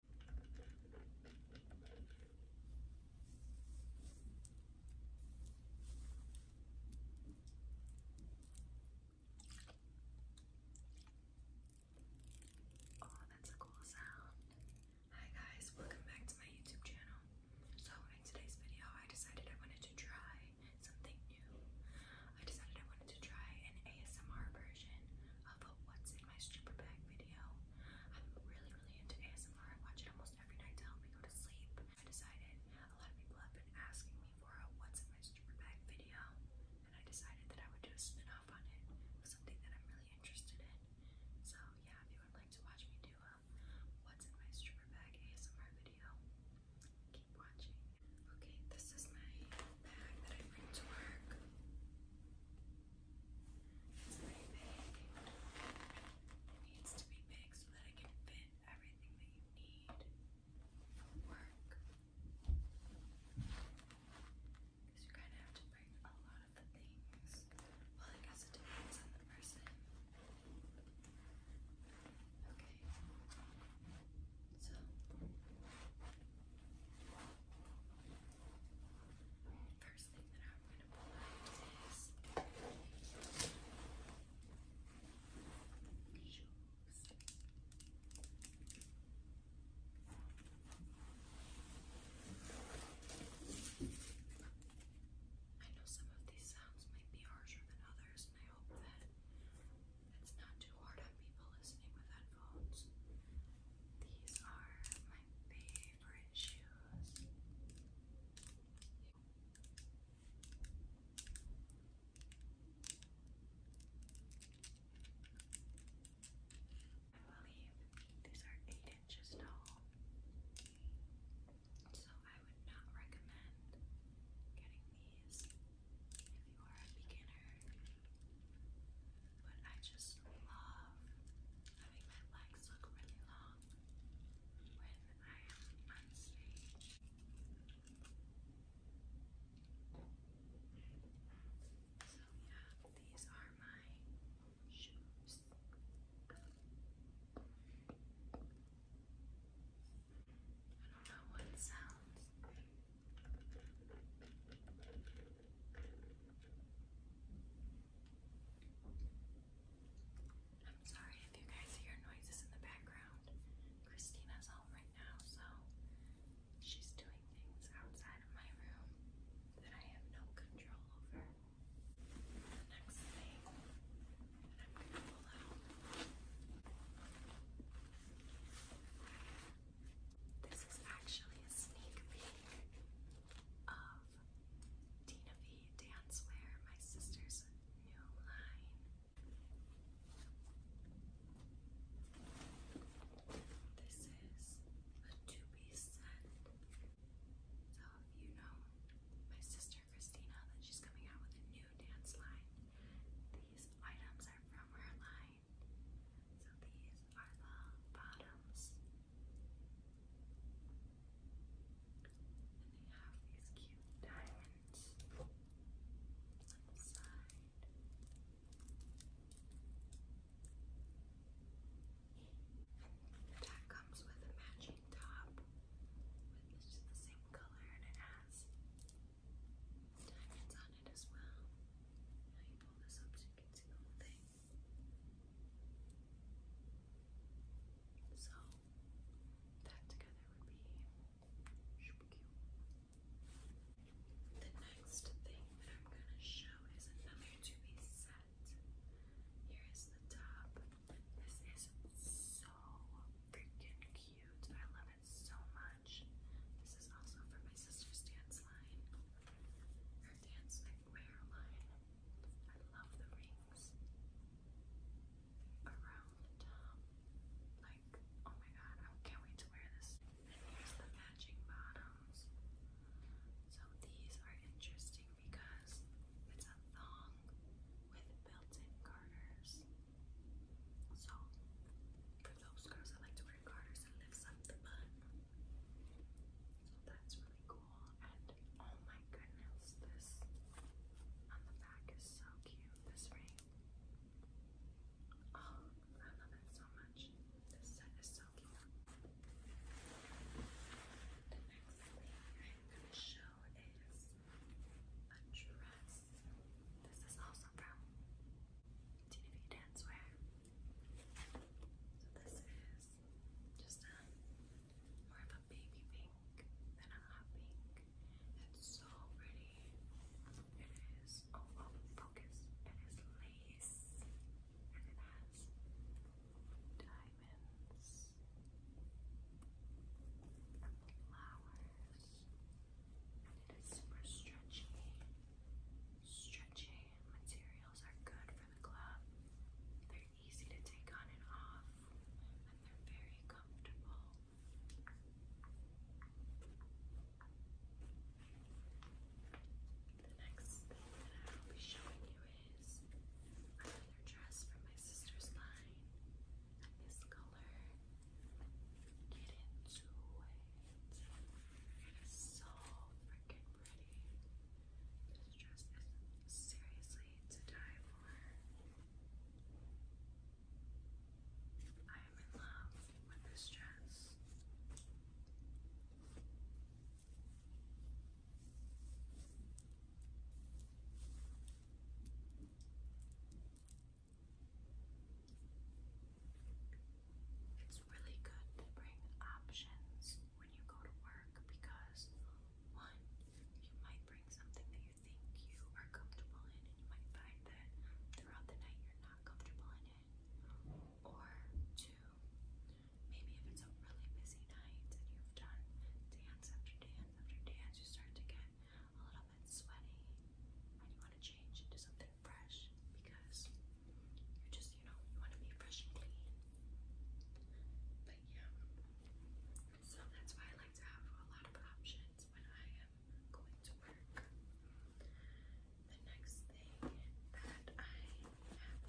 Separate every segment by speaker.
Speaker 1: Oh, that's a cool sound. Hi guys, welcome back to my YouTube channel. So in today's video, I decided I wanted to try something new. I decided I wanted to try an ASMR version what's in my stripper bag video. I'm really, really into ASMR. I watch it almost every night to help me go to sleep. I decided a lot of people have been asking me for a what's in my stripper bag video, and I decided that I would do a spin on it. Something that I'm really interested in. So yeah, if you would like to watch me do a what's in my stripper bag ASMR video, keep watching. Okay, this is my bag that I bring to work. It's pretty big. It needs to be big so that it can fit everything that you need for work. Because you kind of have to bring a lot of the things. Well, I guess it depends on the person. Okay. So. First thing that I'm going to pull is shoes. I know some of these sounds might be harsher than others, and I hope that it's not too hard on people listening with headphones. These are my favorite shoes. I believe these are eight inches tall, so I would not recommend getting these if you are a beginner but I just love having my legs look really long when I am on stage. So yeah, these are my shoes. I don't know what sounds. I'm sorry if you guys hear noises in the background. Christina's home right now, so she's doing things outside of my room that I have no control over. next thing I'm going to pull out. This is actually a sneak peek of Tina V Dancewear, my sister's new line. This is a two-piece set. So if you know my sister Christina, that she's coming out with a new dance line. These items are from her line. So these are the bottoms. And they have these cute diamonds inside. The tag comes with a matching top with it's the same color and it has diamonds on it as well. Now you pull this up so you So that together would be The next thing I'm gonna show is another two-piece set. Here is the top. This is so freaking cute. I love it so much. This is also from my sister's dance line, her dance line. I love the rings around Like, oh my god, I can't wait to wear this. And here's the matching bottoms. So these are interesting because it's a thong with built-in garters. So for those girls that like to different garters lifts up the bun. So that's really cool. And oh my goodness, this on the back is so cute. This ring. Oh, I love it so much. This set is so cute. The next thing I'm going to show is a dress. This is also from Tina Dancewear. So this is just more of a baby pink than a hot pink. It's so pretty. It is, oh, oh, focus. It is lace. And it has diamonds and flowers. And it is super stretchy stretchy materials are good for the glove. They're easy to take on and off, and they're very comfortable. The next thing that I will be showing you is another dress from my sister's line. This color Get into it. So freaking pretty. This dress is seriously to die for. I am in love with this dress. It's really good to bring options when you go to work because, one, you might bring something that you think you are comfortable in, and you might find that throughout the night you're not comfortable in it. Or, two, maybe if it's a really busy night and you've done dance after dance after dance, you start to get a little bit sweaty and you want to change into something fresh because you just, you know, you want to be fresh and clean. But yeah, so that's why I like to have a lot of options when I am going to work. The next thing that I have in my bag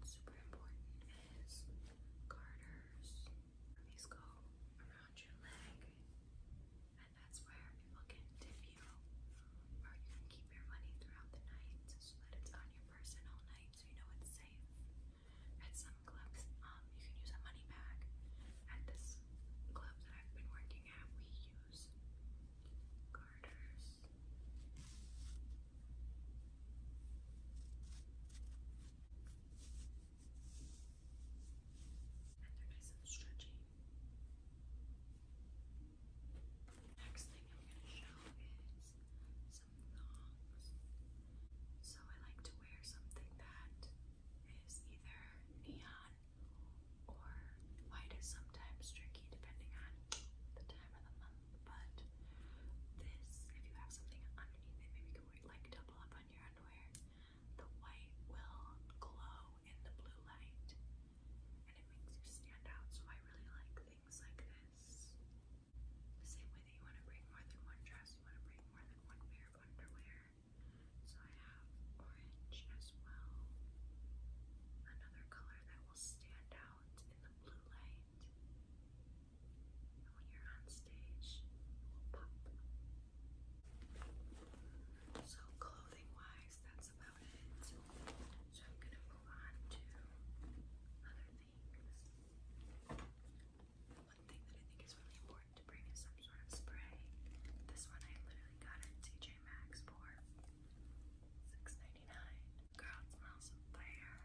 Speaker 1: that's super important is garters. These around your leg that's where people can tip you, or you can keep your money throughout the night so that it's on your person all night so you know it's safe. At some clubs, um, you can use a money bag. At this club that I've been working at, we use garters. And they're nice and stretchy. Next thing I'm going to show is some thongs. So I like to wear something that is either neon or white is sometimes tricky depending on the time of the month. But this, if you have something underneath it, maybe you can like double up on your underwear. The white will glow in the blue light and it makes you stand out. So I really like things like this. The same way that you want to bring more than one dress, you want to bring more than one pair of underwear. So I have orange as well. Another color that will stand out in the blue light. when you're on stage, it will pop. So clothing wise, guys, that's about it. So I'm gonna move on to other things. one thing that I think is really important to bring is some sort of spray. This one I literally got at TJ Maxx for $6.99. Girl, fire.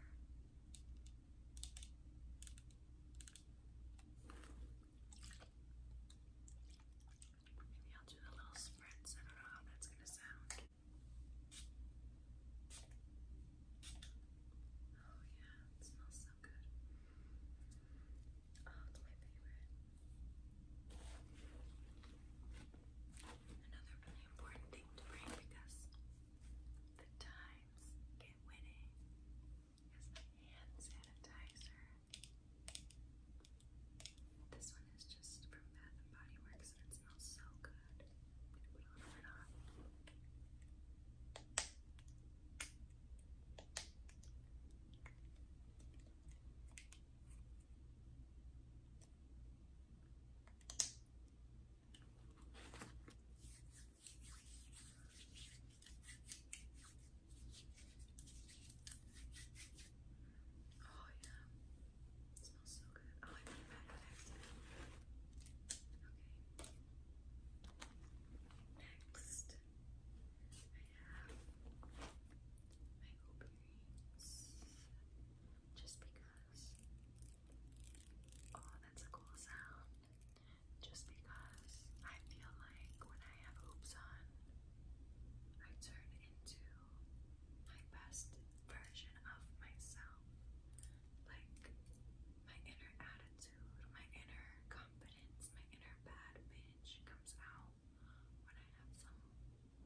Speaker 1: Maybe I'll do the little sprints. I don't know how that's gonna sound. Oh yeah, it smells so good. Oh, it's my favorite. Another really important thing to bring because the times get winning is hand sanitizer. This one is just from Bath and Body Works and it smells so good. I'm gonna put Oh yeah. smells so good. Okay. Next, I have my hoop Just because. Oh, that's a cool sound. Just because I feel like when I have hoops on, I turn into my best version of myself. Like my inner attitude, my inner confidence, my inner bad bitch comes out when I have some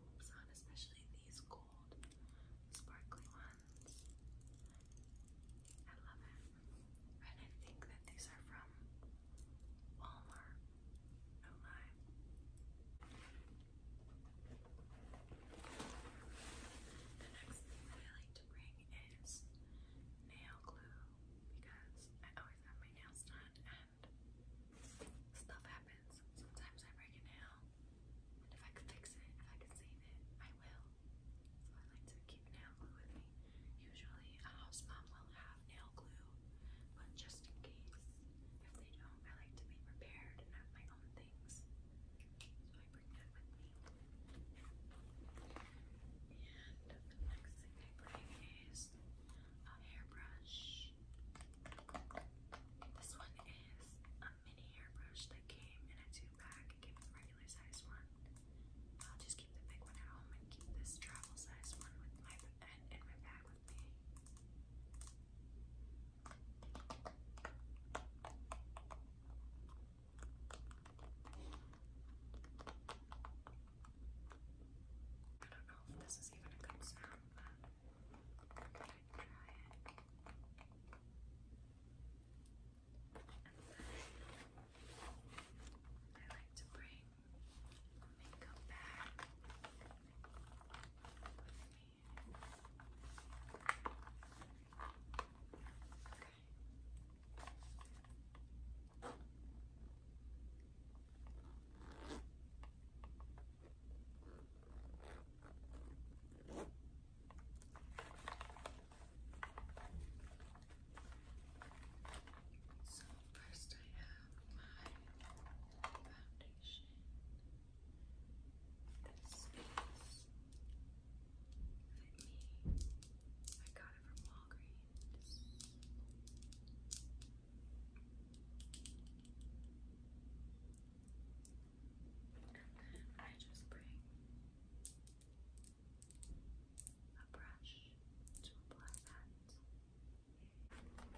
Speaker 1: hoops on, especially these gold sparkly ones. I love it. And I think that these are from Walmart. No lie. The next thing I like to bring is nail glue because I always have my nails done and stuff happens. Sometimes I break a nail and if I could fix it, if I could save it, I will. So I like to keep nail glue with me. Usually a house mom will have nail glue, but just in case. If they do I like to be prepared and have my own things. So I bring that with me. And the next thing I bring is a hairbrush. This one is a mini hairbrush that came in a two pack. It came with a regular size one. I'll just keep the big one at home and keep this travel size one with my and in my bag with me. I don't know if this is even a good sound, but i try it. I like to bring let me go back so First, I have my foundation. This is Fit Me. I got it from Walgreens. And then I just bring a brush to apply that. Then I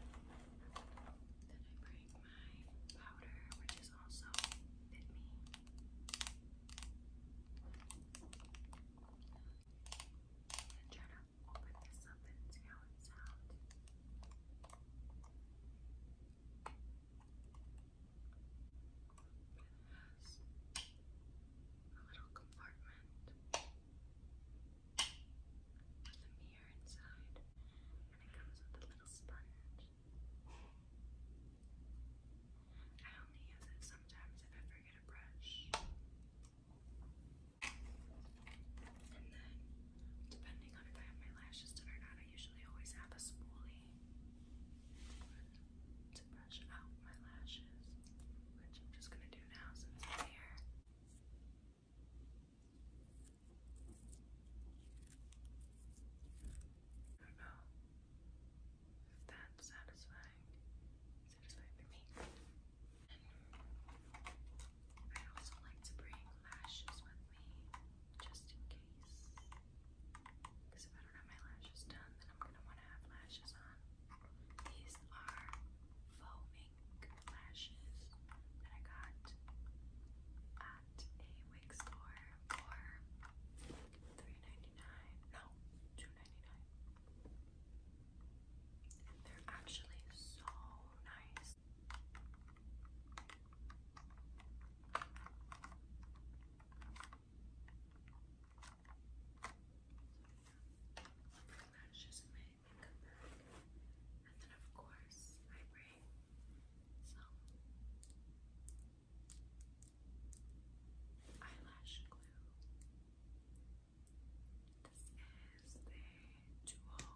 Speaker 1: bring my powder, which is also Fit Me. i try to open this up and see how it sounds. it has a little compartment there's a mirror inside, and it comes with a little sponge. I only use it sometimes if I forget a brush. And then, depending on if I have my lashes done or not, I usually always have a spoolie brush out my lashes, which I'm just gonna do now since I'm here. I don't know if that's satisfying. Satisfying for me. I also like to bring lashes with me just in case. Because if I don't have my lashes done, then I'm gonna want to have lashes on. These are foaming lashes that I got at a wig store for 3 No, 2 they're actually so nice lashes in my makeup bag. And then, of course, I bring some eyelash glue. This is a duo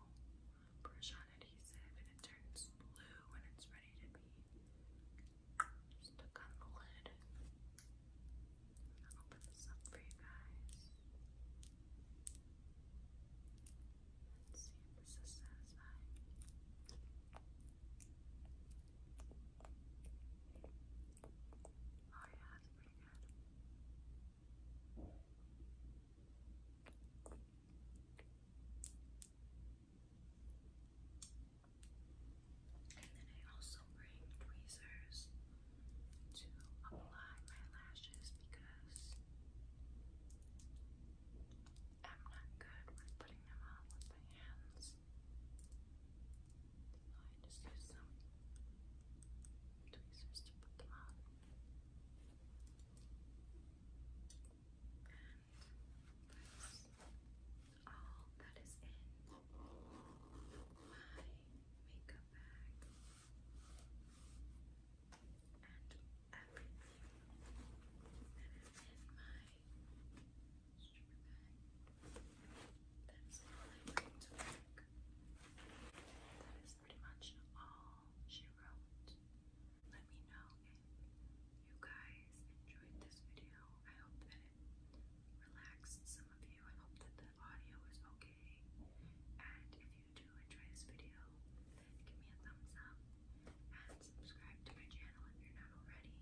Speaker 1: brush on adhesive and it turns blue when it's ready to be stuck on the lid. I'll open this up for you guys. Let's see if this is satisfying. Oh yeah, that's pretty good. Okay, and then I also bring tweezers to apply my lashes because I'm not good with putting them on with my hands. So I just use some tweezers to put them on all oh, that is in my makeup bag and everything that is in my stripper bag. That is all I bring to work. That is pretty much all she wrote. Let me know if you guys enjoyed this video. I hope that relaxed some of you. I hope that the audio is okay. And if you do enjoy this video, give me a thumbs up and subscribe to my channel if you're not already.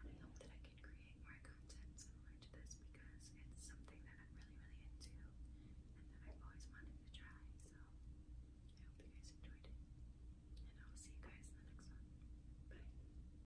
Speaker 1: And I hope that I can create more content similar to this because it's something that I'm really, really into and that I've always wanted to try. So I hope you guys enjoyed it. And I'll see you guys in the next one. Bye.